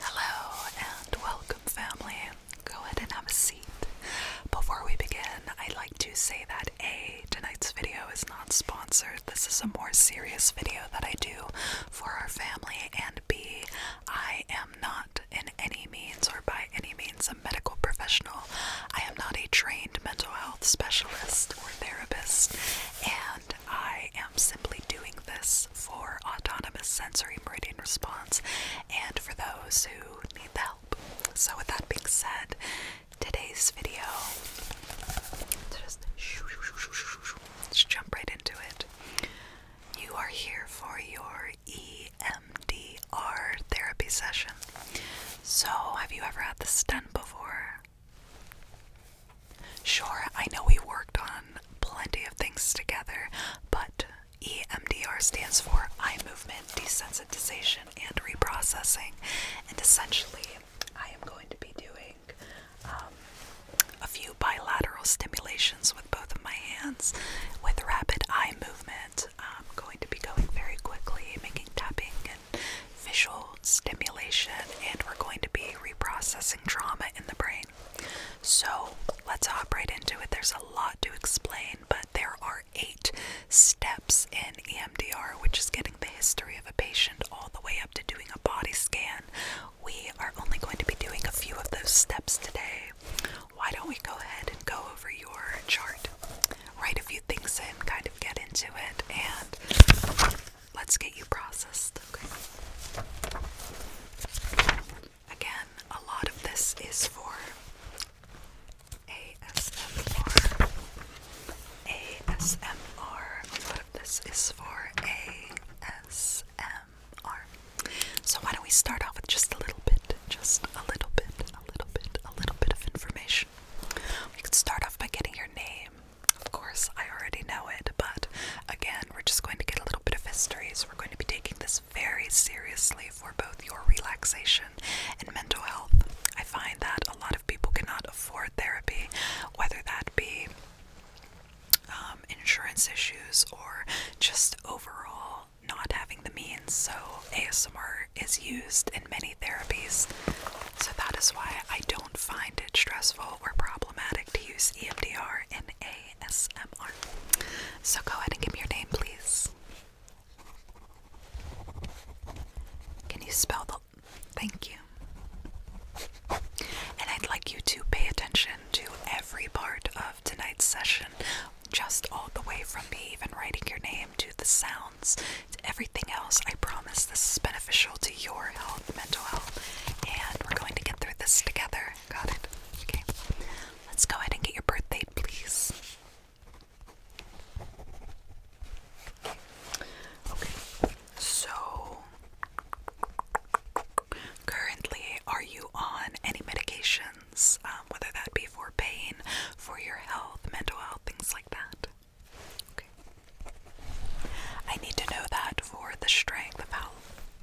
Hello and welcome, family. Go ahead and have a seat. Before we begin, I'd like to say that A, tonight's video is not sponsored. This is a more serious video that I do for our family, and B, I am not in any means or by any means a medical professional. I am not a trained mental health specialist or therapist, and I am simply doing this for autonomous sensory meridian response and for those who need help. So, with that being said, today's video, just, Let's jump right into it. You are here for your EMDR therapy session. So, have you ever had this done before? Sure, I know we worked on plenty of things together, but EMDR stands for eye movement desensitization and reprocessing, and essentially, I am going to be doing um, a few bilateral stimulations with both of my hands with rapid eye movement. I'm going to be going very quickly, making tapping visual stimulation, and we're going to be reprocessing trauma in the brain. So let's hop right into it. There's a lot to explain, but there are eight steps in EMDR, which is getting the history of a patient all the way up to doing a body scan. We are only going to be doing a few of those steps today. Why don't we go ahead and go over your chart? Write a few things in, kind of get into it, and Let's get you processed, okay? Again, a lot of this is for ASMR. ASMR. A lot of this is for ASMR. So, why don't we start off with just a little bit, just a little bit, a little bit, a little bit of information? We can start off by getting your name of course, I already know it, but again, we're just going to get a little bit of history, so we're going to be taking this very seriously for both your relaxation and mental health. I find that a lot of people cannot afford therapy, whether that be um, insurance issues or just overall not having the means. So, ASMR is used in many therapies, so that is why I don't find it stressful were problematic to use EMDR in ASMR. So go ahead and give your name, please. Can you spell the. Thank you. And I'd like you to pay attention to every part of tonight's session, just all the way from me even writing your name to the sounds everything else. I promise this is beneficial to your health, mental health, and we're going to get through this together. Got it? Okay. Let's go ahead and get your birth please. Okay. So, currently, are you on any medications? Um, whether that be for pain, for your health, mental health, things like that? Okay. I need to know that for the strength of how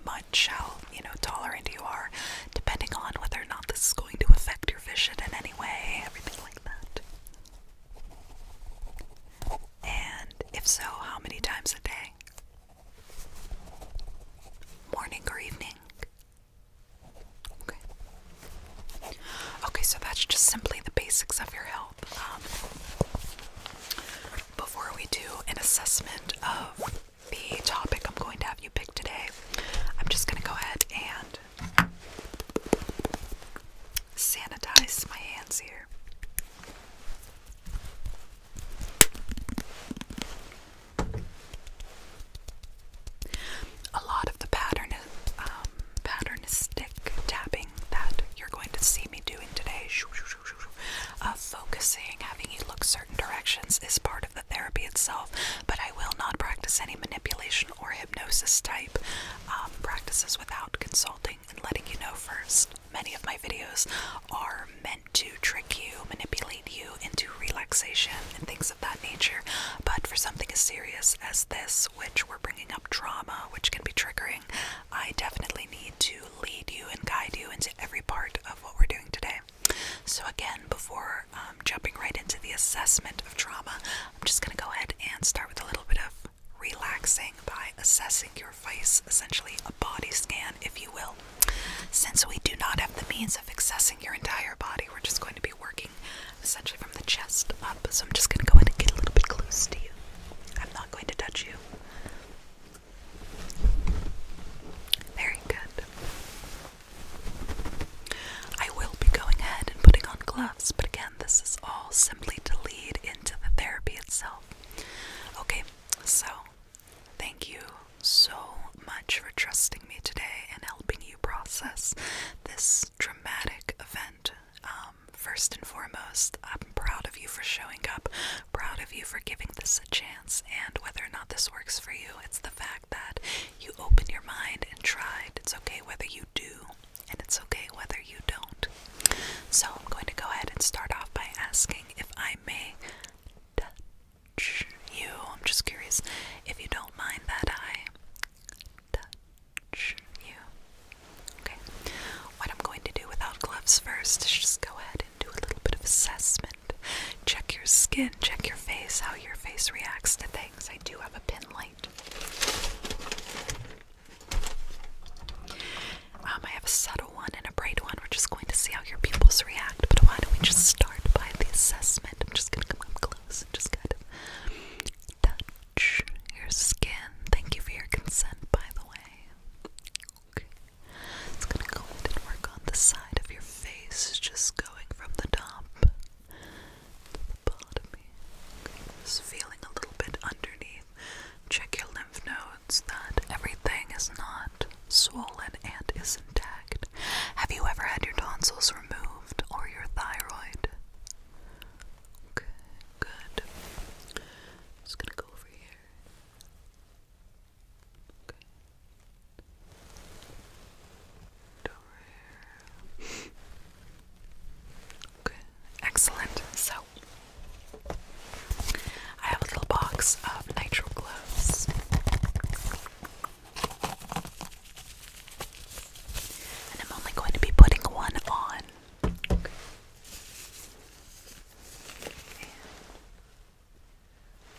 much, how, you know, tolerant you are, depending on whether or not this is going to affect your vision in any way, everything like that. And if so, how many times a day? Morning or evening? Okay. Okay, so that's just simply the basics of your health. Um, before we do an assessment of the topic I'm going to have you pick today, I'm just going to go ahead and sanitize my hands here. A lot of the pattern, um, pattern stick tapping that you're going to see me doing today. Uh, focusing, having you look certain directions is part of the therapy itself, but I will not practice any manipulation or hypnosis type um, practices without consulting and letting you know first. Many of my videos are meant to trick you, manipulate you into relaxation and things of that nature, but for something as serious as this, which we're bringing up trauma, which can be triggering, I definitely need to lead you and guide you into every part of what we're doing today. So, again, before um, jumping right into the assessment of trauma, I'm just going to go ahead and start with a little bit of relaxing by assessing your face, essentially a body scan, if you will. Since we do not have the means of accessing your entire body, we're just going to be working essentially from the chest up. So, I'm just going to go in and get a little bit close to you. I'm not going to touch you. Very good. I will be going ahead and putting on gloves, but again, this is all simply to lead into the therapy itself. Okay, so thank you so much for trusting me today and helping you process this dramatic event. Um, first and foremost, I'm proud of you for showing up, proud of you for giving this a chance, and whether or not this works for you, it's the fact that you opened your mind and tried. It's okay whether you do, and it's okay whether you don't. So, I'm going to go ahead and start off by asking if I may touch you. I'm just curious if you don't mind that I touch you. Okay, what I'm going to do without gloves first is just go ahead and do a little bit of assessment. Check your skin, check your face, how your face reacts to things. I do have a pen light. Um, I have a subtle one and a bright one. We're just going to see how your pupils react, but why don't we just start by the assessment? I'm just gonna come up close and just kind of your skin. Thank you for your consent, by the way. It's gonna go and work on the side of your face, just going from the top to the bottom. Just feeling a little bit underneath. Check your lymph nodes that everything is not swollen and is intact. Have you ever had your tonsils removed or your thyroid? Okay, good. i gonna go over here. Okay. excellent. So, I have a little box of nitrile gloves. And I'm only going to be putting one on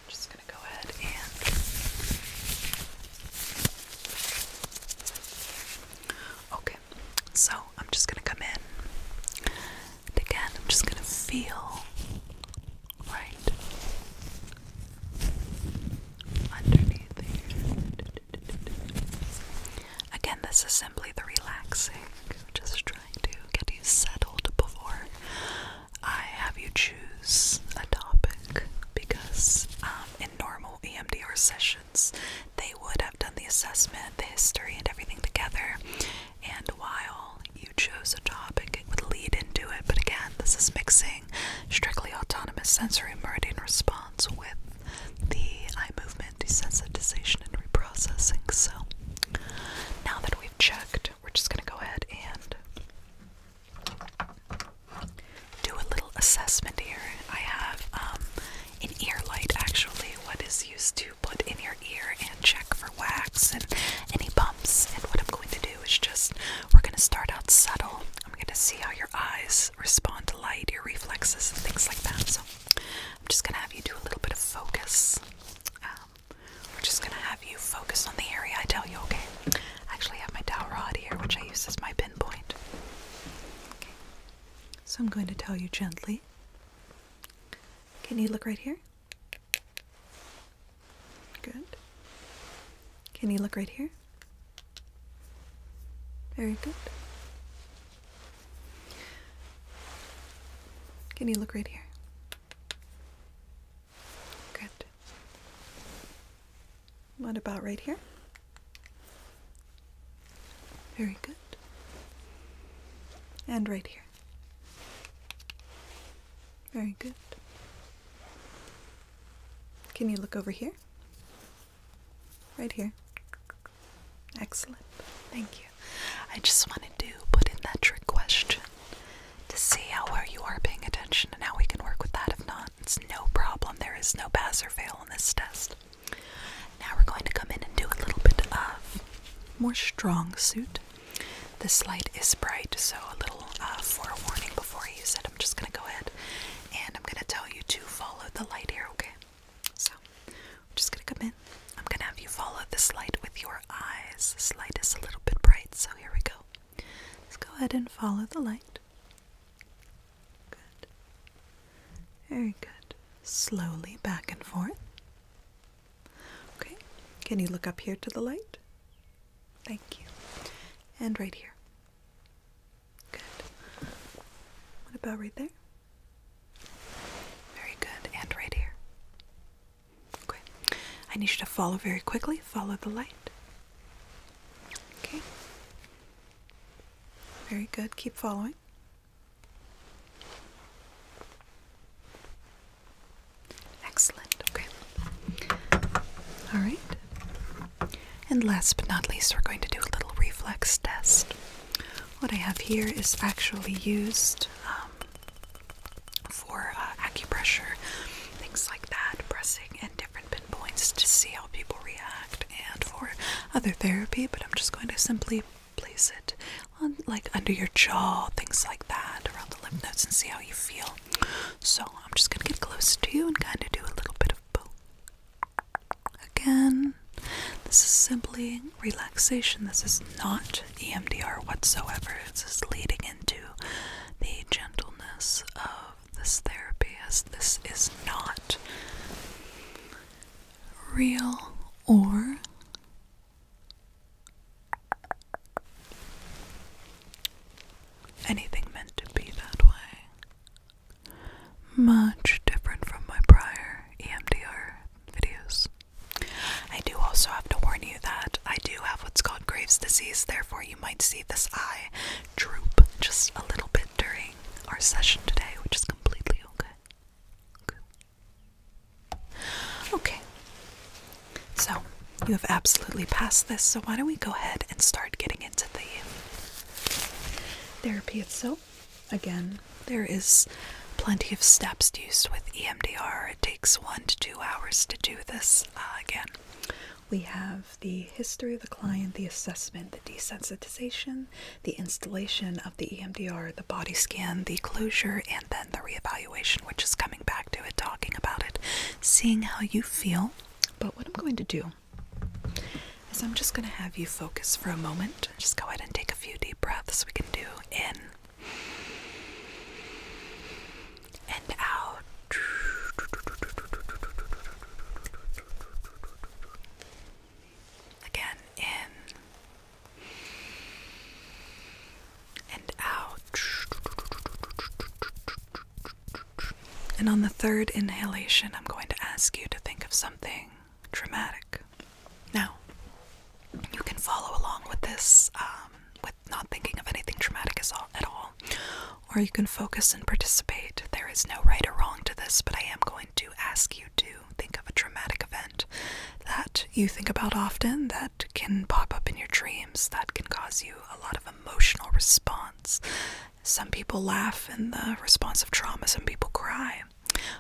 just going to go ahead and. Okay, so I'm just going to come in. And again, I'm just going to feel right underneath the Again, this is simply the relaxing. Just trying to get you settled before I have you choose a topic because um, in normal EMDR sessions, they would have done the assessment, the history, and everything together. And while you chose a topic, it would lead into it. But again, this is mixing strictly autonomous sensory meridian response with the eye movement desensitization and reprocessing. So now that we've checked, we're just going to go ahead and do a little assessment here. I have um, an ear light, actually, what is used to put in your ear and check for wax and any bumps. And what I'm going to do is just, we're going to start out subtle. I'm going to see how your eyes respond to light, your reflexes, and things like that. So I'm just gonna have you do a little bit of focus. Um, we're just gonna have you focus on the area I tell you, okay? I actually have my dowel rod here, which I use as my pinpoint. Okay. So I'm going to tell you gently. Can you look right here? Good. Can you look right here? Very good. Can you look right here? Good. What about right here? Very good. And right here. Very good. Can you look over here? Right here. Excellent. Thank you. I just wanted to put in that trick question to see how well you are paying attention and how we can work with that. If not, it's no problem. There is no pass or fail on this test. Now we're going to come in and do a little bit of more strong suit. This light is bright, so a little uh, forewarning before I use it. I'm just going to go ahead and I'm going to tell you to follow the light here, okay? So, I'm just gonna come in. I'm gonna have you follow this light with your eyes. This light is a little bit bright, so here we go. Let's go ahead and follow the light. Good. Very good. Slowly back and forth. Okay. Can you look up here to the light? Thank you. And right here. Good. What about right there? Very good. And right here. Okay. I need you to follow very quickly. Follow the light. Okay. Very good. Keep following. Excellent. Okay. All right. And last but not least, we're going to do a little reflex test. What I have here is actually used um, for uh, acupressure, things like that, pressing at different pinpoints to see how people react, and for other therapy, but I'm just going to simply place it on, like under your jaw, things like that, around the lymph nodes, and see how you feel. So I'm just going to get close to you and kind of do a little bit of both. Again, this is simply relaxation. This is not EMDR whatsoever. This is leading into the gentleness of this therapy, as this is not real or anything meant to be that way. Much different from my prior EMDR videos. I do also have to warn you that I do have what's called Graves' disease, therefore, you might see this eye droop just a little bit during our session today, which is completely okay. Okay. okay. So, you have absolutely passed this, so why don't we go ahead and start getting into the therapy itself? again, there is plenty of steps used with EMDR. It takes one to two hours to do this. Uh, again, we have the history of the client, the assessment, the desensitization, the installation of the EMDR, the body scan, the closure, and then the reevaluation, which is coming back to it, talking about it, seeing how you feel. But what I'm going to do so I'm just going to have you focus for a moment. Just go ahead and take a few deep breaths. We can do in and out. Again, in and out. And on the third inhalation, I'm going to ask you to think of something something Now, you can follow along with this um, with not thinking of anything traumatic at all, or you can focus and participate. There is no right or wrong to this, but I am going to ask you to think of a traumatic event that you think about often, that can pop up in your dreams, that can cause you a lot of emotional response, some people laugh in the response of trauma, some people cry.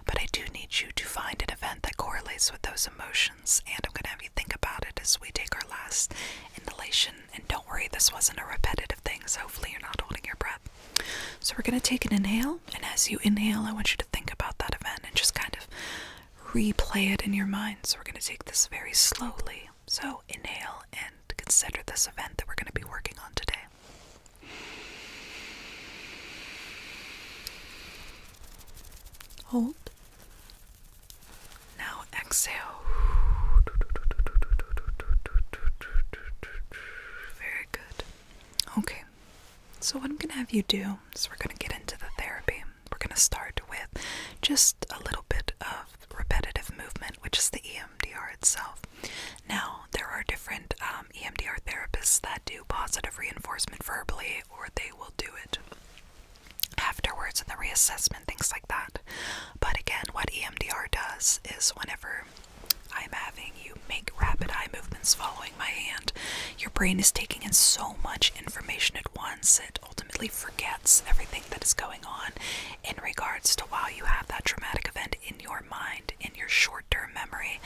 But I do need you to find an event that correlates with those emotions, and I'm going to have you think about it as we take our last inhalation. And don't worry, this wasn't a repetitive thing, so hopefully, you're not holding your breath. So, we're going to take an inhale, and as you inhale, I want you to think about that event and just kind of replay it in your mind. So, we're going to take this very slowly. So, inhale and consider this event that we're going to be working on today. Hold. Now exhale. Very good. Okay. So, what I'm going to have you do is we're going to get into the therapy. We're going to start with just a little bit of repetitive movement, which is the EMDR itself. Now, there are different um, EMDR therapists that do positive reinforcement verbally, or they will do it afterwards in the reassessment, things like that. But again, what EMDR does is whenever I'm having you make rapid eye movements following my hand, your brain is taking in so much information at once, it ultimately forgets everything that is going on in regards to while you have that traumatic event in your mind in your short term memory.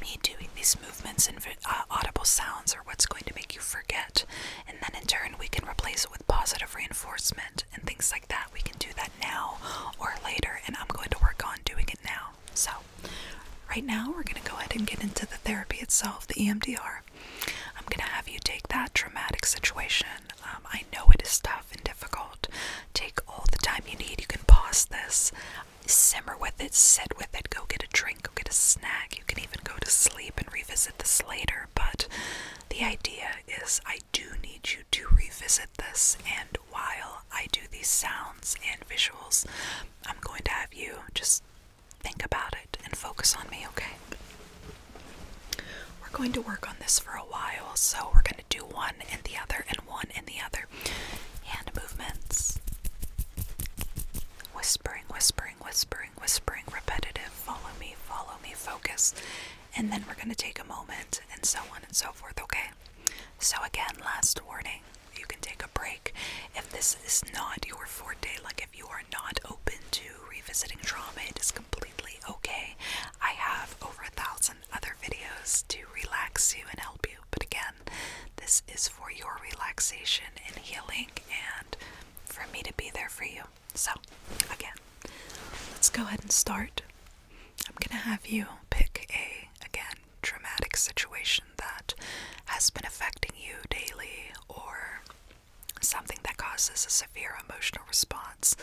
Me doing these movements and uh, audible sounds are what's going to make you forget. And then in turn, we can replace it with positive reinforcement and things like that. We can do that now or later, and I'm going to work on doing it now. So, right now, we're going to go ahead and get into the therapy itself, the EMDR. I'm going to have you take that traumatic situation. Um, I know it is tough tough and difficult, take all the time you need. You can pause this, simmer with it, sit with it, go get a drink, go get a snack. You can even go to sleep and revisit this later. But the idea is, I do need you to revisit this. And while I do these sounds and visuals, I'm going to have you just think about it and focus on me, okay? We're going to work on this for a while, so we're going to do one and the other and one and the other. Hand movements. Whispering, whispering, whispering, whispering, repetitive. Follow me, follow me, focus. And then we're going to take a moment and so on and so forth, okay? So, again, last warning you can take a break if this is not your fourth day. like if you are not open to revisiting trauma, it is completely okay. I have over a thousand other videos to relax you and help you. But again, this is for your relaxation and healing and for me to be there for you. So, again, let's go ahead and start. I'm going to have you pick a, again, traumatic situation that has been affecting you daily or something that causes a severe emotional response,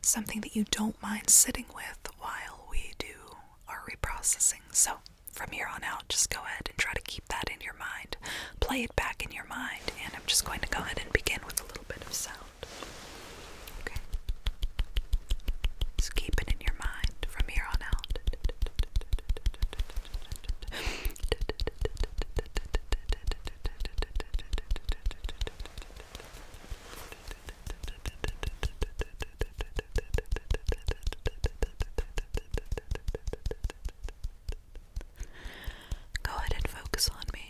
something that you don't mind sitting with while we do our reprocessing. So, from here on out, just go ahead and try to keep that in your mind. Play it back in your mind, and I'm just going to go ahead and begin with a little bit of sound. Okay? So, keep it in your mind from here on out. Go ahead and focus on me.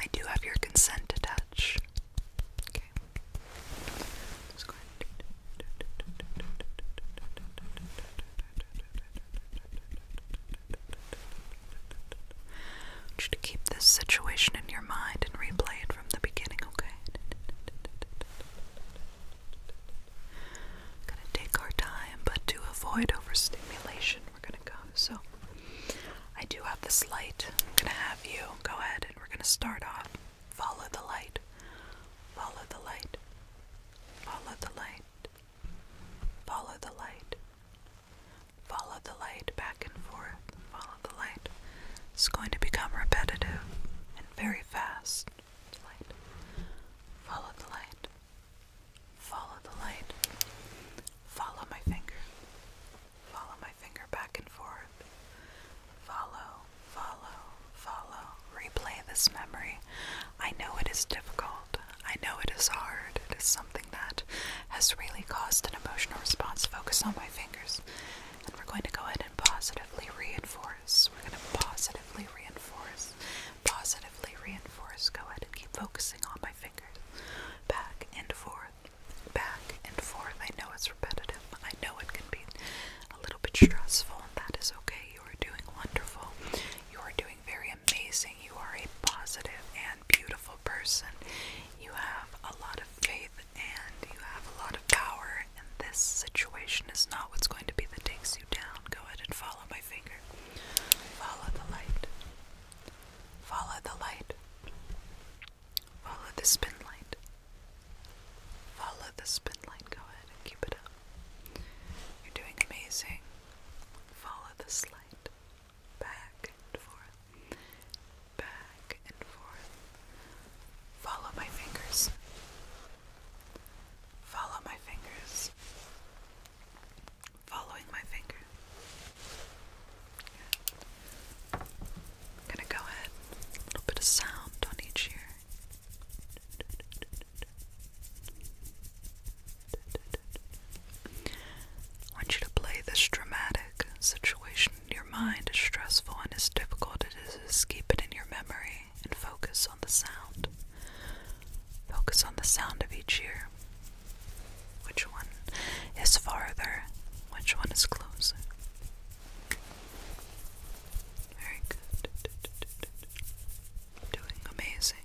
I do have your consent to touch. Okay. I keep this situation in your mind and replay it from the beginning, okay? gonna take our time, but to avoid overstimulation, we're gonna go. So, I do have this light. I'm gonna have you go ahead and we're gonna start off. Follow the light. Follow the light. Follow the light. Follow the light. Follow the light back and forth. Follow the light. It's going to become repetitive and very fast. Follow the light. Follow the light. Follow my finger. Follow my finger back and forth. Follow, follow, follow. Replay this memory. I know it is difficult. I know it is hard. It is something that has really caused an emotional response. Focus on my fingers. And we're going to go ahead and positively reinforce. We're going to positively reinforce. Positively reinforce. Go ahead and keep focusing on my fingers. Back and forth. Back and forth. I know it's repetitive. I know it can be a little bit stressful, and that is okay. You are doing wonderful. You are doing very amazing. You are a positive and beautiful person. You have a lot of faith and you have a lot of power, and this situation is not what's going to be that takes you down. Go ahead and follow my finger. Follow the light. Follow the light. Follow the spin light. Follow the spin light. Go ahead and keep it up. You're doing amazing. Follow the slide back and forth, back and forth. Follow my fingers. Follow my fingers. Following my finger. I'm gonna go ahead, a little bit of sound on each ear want you to play this dramatic situation in your mind as stressful and it's difficult as it is. Keep it in your memory and focus on the sound. Focus on the sound of each ear. Which one is farther? Which one is closer? Very good. Doing amazing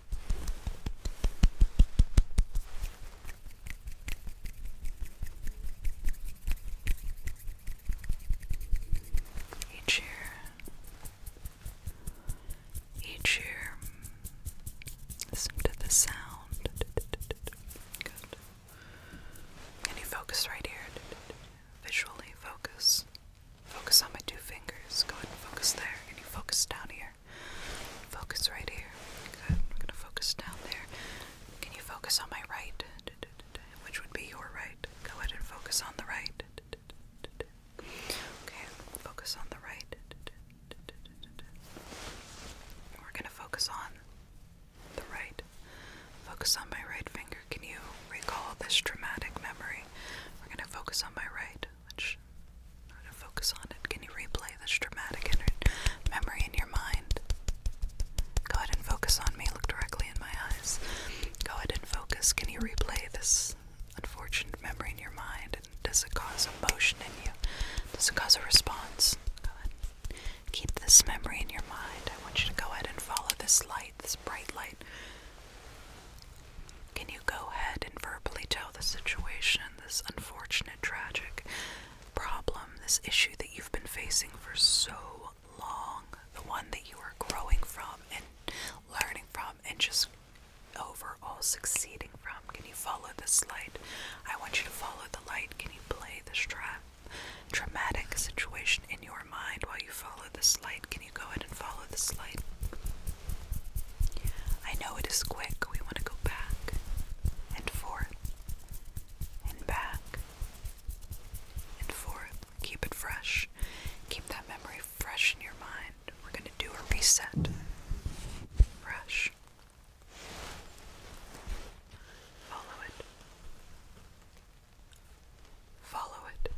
Each year, each year, listen to the sound. Can you focus right here? Visually focus. Focus on my two fingers. Go ahead and focus there. Can you focus down here? Focus right here. Good. we gonna focus down there. Can you focus on my right? Which would be your right. Go ahead and focus on the right. Okay, focus on the right. We're gonna focus on the right. Focus on my right finger. Can you recall this traumatic memory? We're gonna focus on my right which I'm focus on it. Can you replay this dramatic memory in your mind? Go ahead and focus on me. Look directly in my eyes. Go ahead and focus. Can you replay this unfortunate memory in your mind? does it cause emotion in you? Does it cause a response? Go ahead. Keep this memory in your mind. I want you to go ahead and follow this light, this bright light. Can you go ahead and verbally tell the situation, this unfortunate, tragic problem, this issue that you've been facing for so long, the one that you are growing from and learning from and just overall succeeding from? Can you follow this light? I want you to follow the light. Can you play this tra traumatic situation in your mind while you follow this light? Can you go ahead and follow this light? I know it is quick. We want to go back and forth and back and forth. Keep it fresh. Keep that memory fresh in your mind. We're going to do a reset. Fresh. Follow it. Follow it.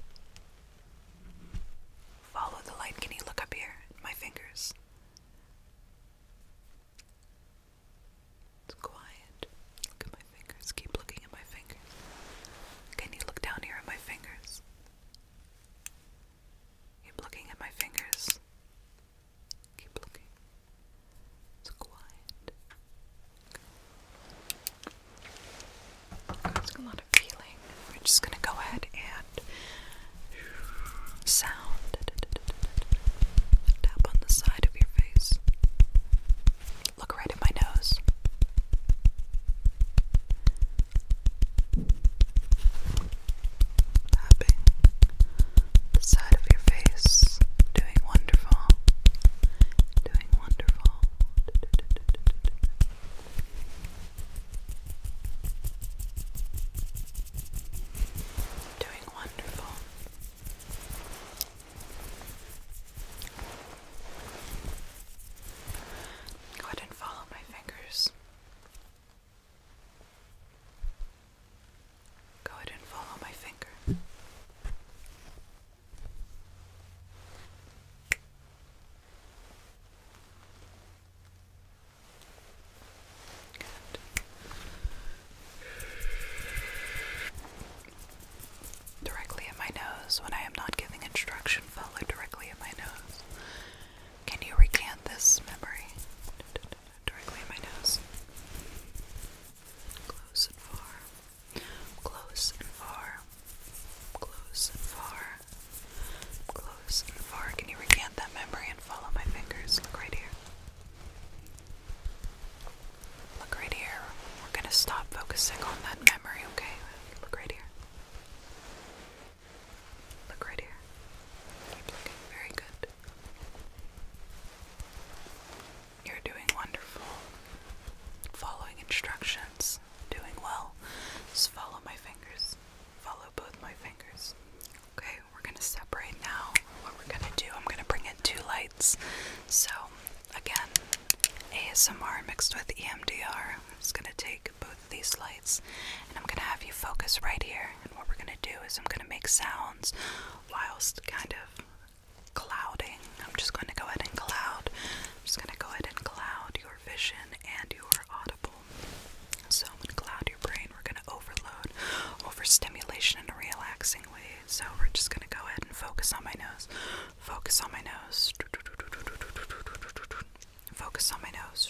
Follow the light. Can you look up here my fingers? It's quiet. Look at my fingers. Keep looking at my fingers. Can you look down here at my fingers? Keep looking at my fingers. Keep looking. It's quiet. There's a lot of feeling we're just going to go ahead and sound. Tap on the side of your face. Look right at my nose. Tapping the side of your face. Doing wonderful. Doing wonderful. Doing wonderful. Go ahead and follow my fingers. Go ahead and follow my finger. Directly in my nose when I am not giving instruction, follow directly in my nose. Can you recant this memory? Directly in my nose. Close and far. Close and far. Close and far. Close and far. Can you recant that memory and follow my fingers? Look right here. Look right here. We're going to stop focusing on that memory, okay? Look right here. Look right here. Very good. You're doing wonderful. Following instructions. Doing well. Just follow my fingers. Follow both my fingers. Okay, we're gonna separate now. What we're gonna do, I'm gonna bring in two lights. So, again, ASMR mixed with EMDR. I'm just gonna take both of these lights and I'm gonna have you focus right here. And what we're gonna do is I'm gonna make sounds whilst kind of clouding. I'm just gonna go ahead and cloud. I'm just gonna go ahead and cloud your vision and your audible. So I'm going your brain. We're gonna overload, overstimulation in a relaxing way. So we're just gonna go ahead and focus on my nose. Focus on my nose. Focus on my nose.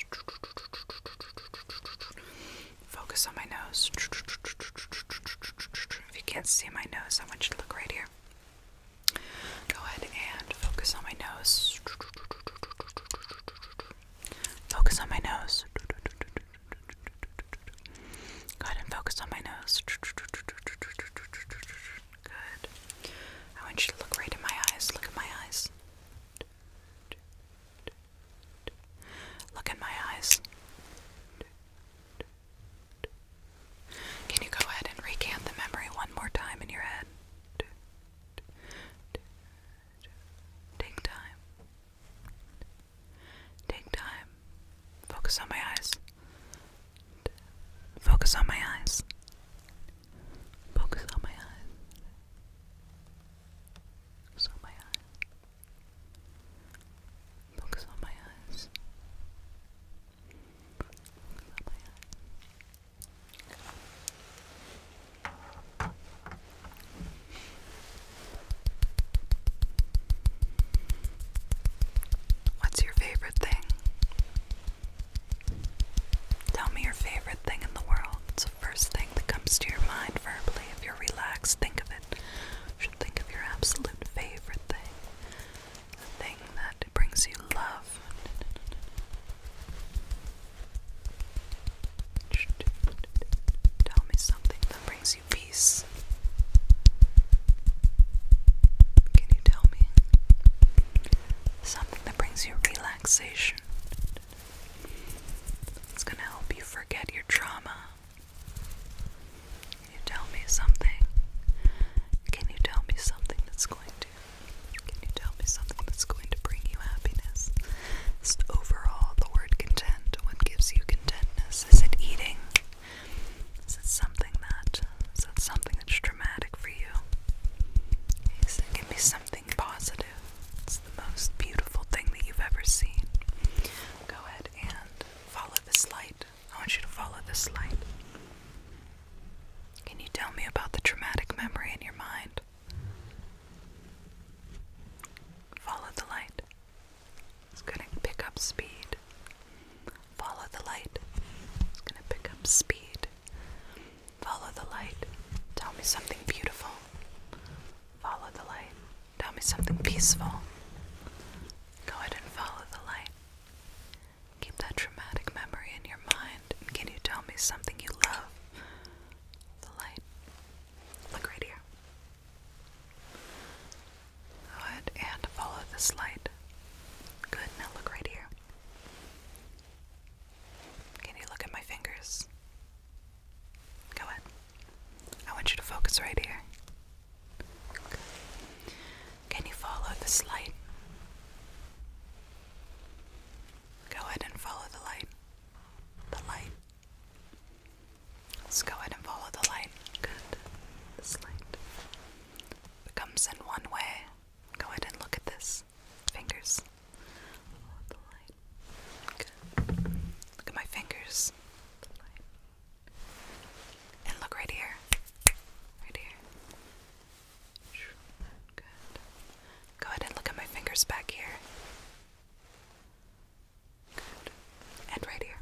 Focus on my nose. If you can't see my nose, I want you to look right here. Go ahead and focus on my nose. Focus on my nose. Go ahead and focus on my nose. Good. I want you to look right in my eyes. Look at my eyes. Look in my eyes. Can you go ahead and recant the memory one more time in your head? Take time. Take time. Focus on my eyes. Focus on my eyes. Focus on my eyes. Focus on my eyes. Focus on my eyes. Focus on my eyes. What's your favorite thing? Tell me your favorite thing in the world. the first thing that comes to your mind verbally. If you're relaxed, think of it. think of your absolute favorite thing. The thing that brings you love. Tell me something that brings you peace. Can you tell me something that brings you relaxation? It's gonna help you forget your trauma. Can you tell me something? Can you tell me something that's going can you tell me something that's going to bring you happiness? Just overall, the word content, what gives you contentness? Is it eating? Is it something that is it something that's dramatic for you? Is it something positive? It's the most beautiful thing that you've ever seen. Go ahead and follow this light. I want you to follow this light. Can you tell me about the traumatic memory in your mind? Follow the light. It's going to pick up speed. Follow the light. It's going to pick up speed. Follow the light. Tell me something beautiful. Follow the light. Tell me something peaceful. Go ahead and follow the light. Keep that traumatic memory in your mind. can you tell me something you love? the light. Look right here. Good, and follow this light. Good, now look right here. Can you look at my fingers? Go ahead. I want you to focus right here. Good. Can you follow this light? Go ahead and follow the light. The light. Let's go ahead and follow the light. Good. This light. comes in one way. Go ahead and look at this. Fingers. Follow the light. Good. Look at my fingers. And look right here. Right here. Go ahead and look at my fingers back here. And right here.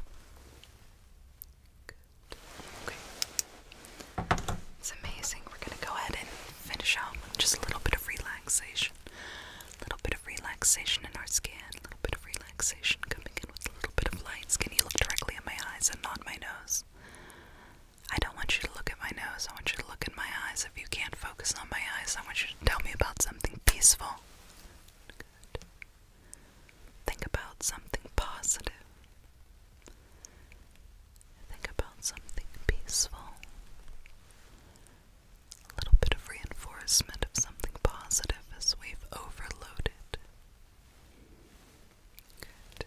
It's amazing. We're going to go ahead and finish out with just a little bit of relaxation. A little bit of relaxation in our skin. A little bit of relaxation coming in with a little bit of light. Can you look directly in my eyes and not my nose? I don't want you to look at my nose. I want you to look at my eyes. If you can't focus on my eyes, I want you to tell me about something peaceful. Think about something positive. Think about something peaceful. A little bit of reinforcement of something positive as we've overloaded. Good.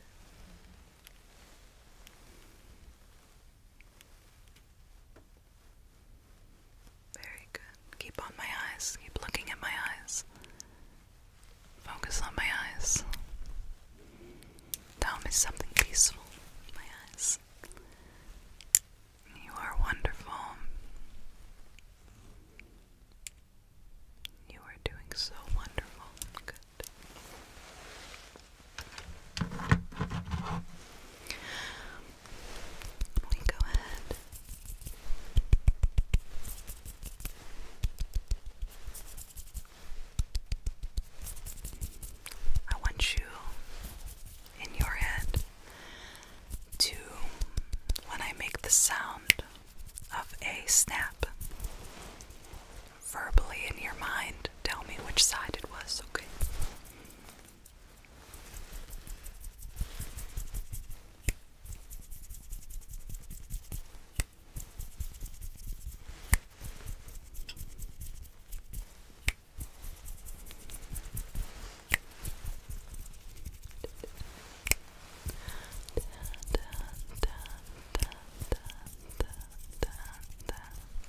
Very good. Keep on my eyes. Keep looking at my eyes. Focus on my eyes. Tell me something peaceful. My eyes. You are wonderful. You are doing so wonderful. We go ahead I want you in your head to when I make the sound of a snap verbally in your mind. Tell me which side it was, okay?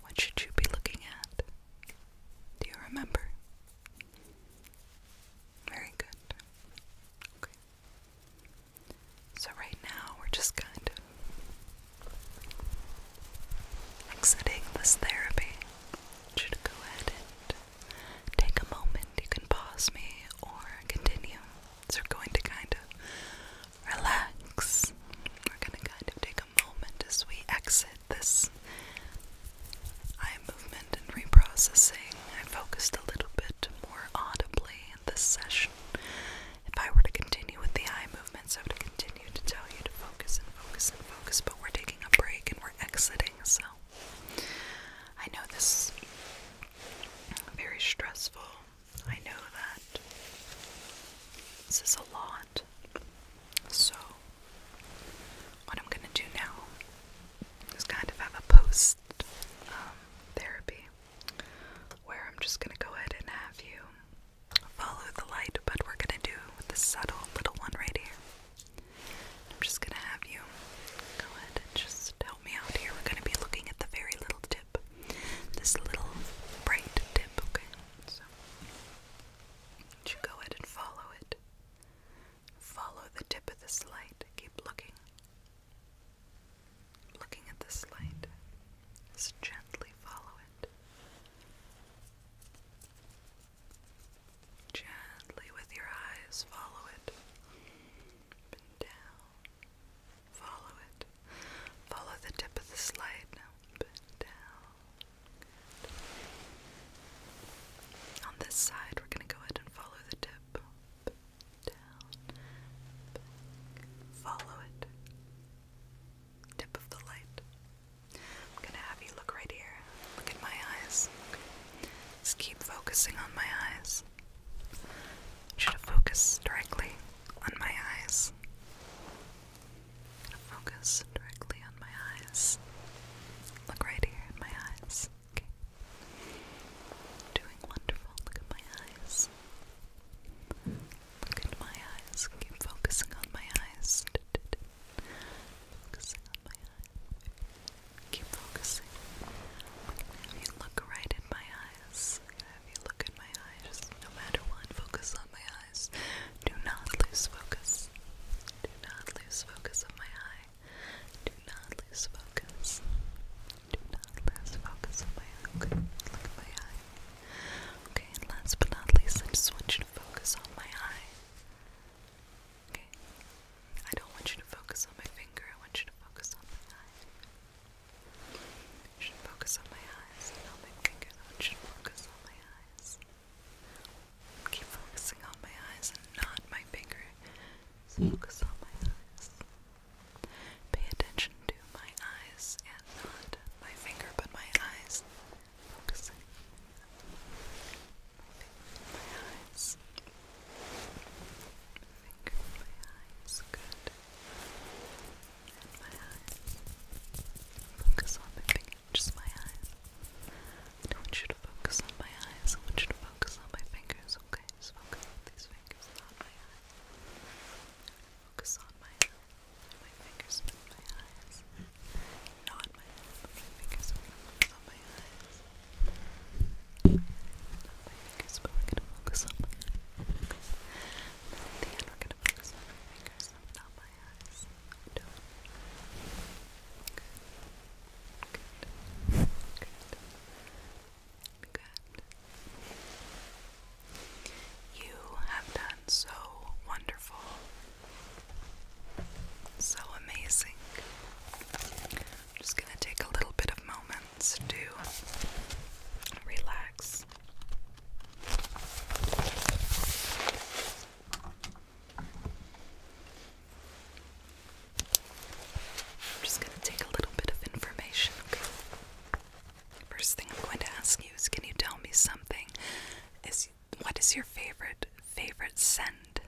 What should you be looking at? Do you remember? Very good. Okay. So, right now, we're just kind of exiting this therapy. should go ahead and take a moment. You can pause me or continue. So, we're going to kind of relax. We're going to kind of take a moment as we exit this Eye movement and reprocessing. I focused a little bit more audibly in this session. If I were to continue with the eye movements, I would continue to tell you to focus and focus and focus, but we're taking a break and we're exiting, so I know this is very stressful. I know that this is a lot. So, what I'm going to do now is kind of have a post therapy where I'm just going to go ahead and have you follow the light, but we're going to do the subtle little one right here. I'm just going to have you go ahead and just help me out here. We're going to be looking at the very little tip, this little bright tip, okay? So, you go ahead and follow it. Follow the tip of this light. Keep looking. Looking at this light. Just gently follow it. Gently with your eyes, follow it. Up down. Follow it. Follow the tip of this light. Now bend down. On this side, we're going to go ahead and follow the tip. Follow it. Tip of the light. I'm gonna have you look right here. Look at my eyes. Okay. Just keep focusing on my eyes. I should focus directly on my eyes. focus directly on my eyes. Look right here in my eyes. Okay. Doing wonderful. Look at my eyes. Look at my eyes. Keep focusing on my eyes. Focusing on my eyes. Keep focusing. Have you look right in my eyes. Have you look in my eyes. no matter what, focus on my eyes. Do not lose focus. Do not lose focus on my eye. Do not lose focus. Do not lose focus on my eye. look at my eye. Okay, and last but not least, I just want you to focus on my eye. Okay? I don't want you to focus on my finger, I want you to focus on my eye. You should focus on my eyes, not my finger. want you to focus on my eyes keep focusing on my eyes and not my finger. focus on my eyes. Pay attention to my eyes and not my finger, but my eyes. Focusing my eyes. Finger, my eyes. Good. my eyes. Focus on my finger, just my eyes. I don't want you to focus on my eyes. I want you to focus on my fingers, okay? Just focus on these fingers, not my eyes. Focus on my fingers, not my eyes. Not my fingers focus on my eyes. Not my fingers, but we're gonna focus on my eyes. Okay. And at the we're gonna focus on my fingers, not my eyes. Okay. You have done so wonderful. So amazing. just going to take a little bit of moments to relax. I'm just going to take a little bit of information, okay? First thing I'm going to ask you is can you tell me something? Is what is your favorite favorite scent?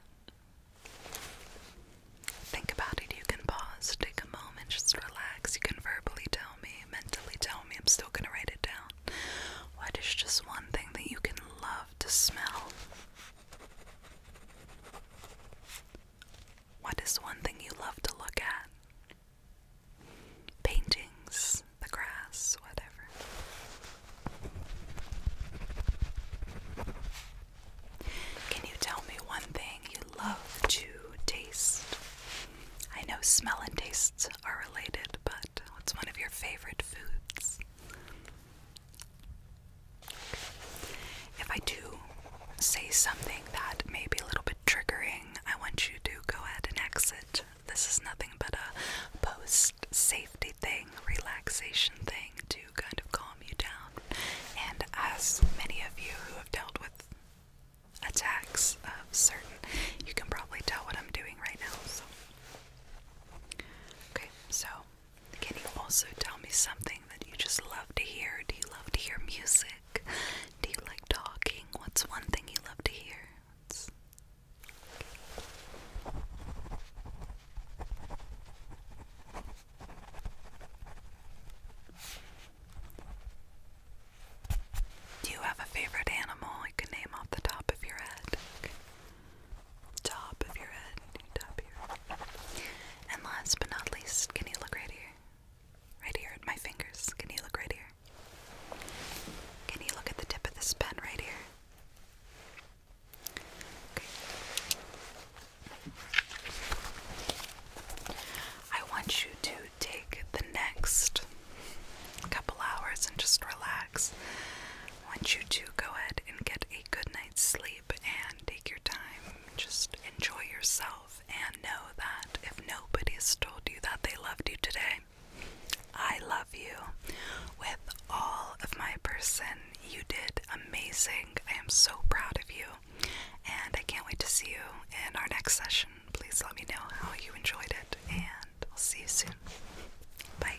Think about it. You can pause, take a moment, just relax. You can verbally tell me, mentally tell me. I'm still going to write it down. What is just one thing that you can love to smell? What is one thing you love to look at? Paintings, the grass, whatever. Can you tell me one thing you love to taste? I know smell and tastes are related, but what's one of your favorite foods? If I do say something that may be a little bit triggering, I want you to go ahead and exit. This is nothing but a post safety thing, relaxation thing to kind of calm you down. And as many of you who have dealt with attacks of certain, you can probably tell what I'm doing right now. So, okay, so can you also tell me something that you just love to hear? Do you love to hear music? Do you like talking? What's one thing you love to hear? Do you have a favorite animal I can name off the top of your head? top of your head, And last but not least, can you look right here? Right here at my fingers. Can you look right here? Can you look at the tip of this pen right here? Okay. I want you to take the next couple hours and just relax. I want you to go ahead and get a good sleep and take your time. Just enjoy yourself and know that if nobody has told you that they loved you today, I love you with all of my person. You did amazing. I am so proud of you. And I can't wait to see you in our next session. Please let me know how you enjoyed it, and I'll see you soon. Bye.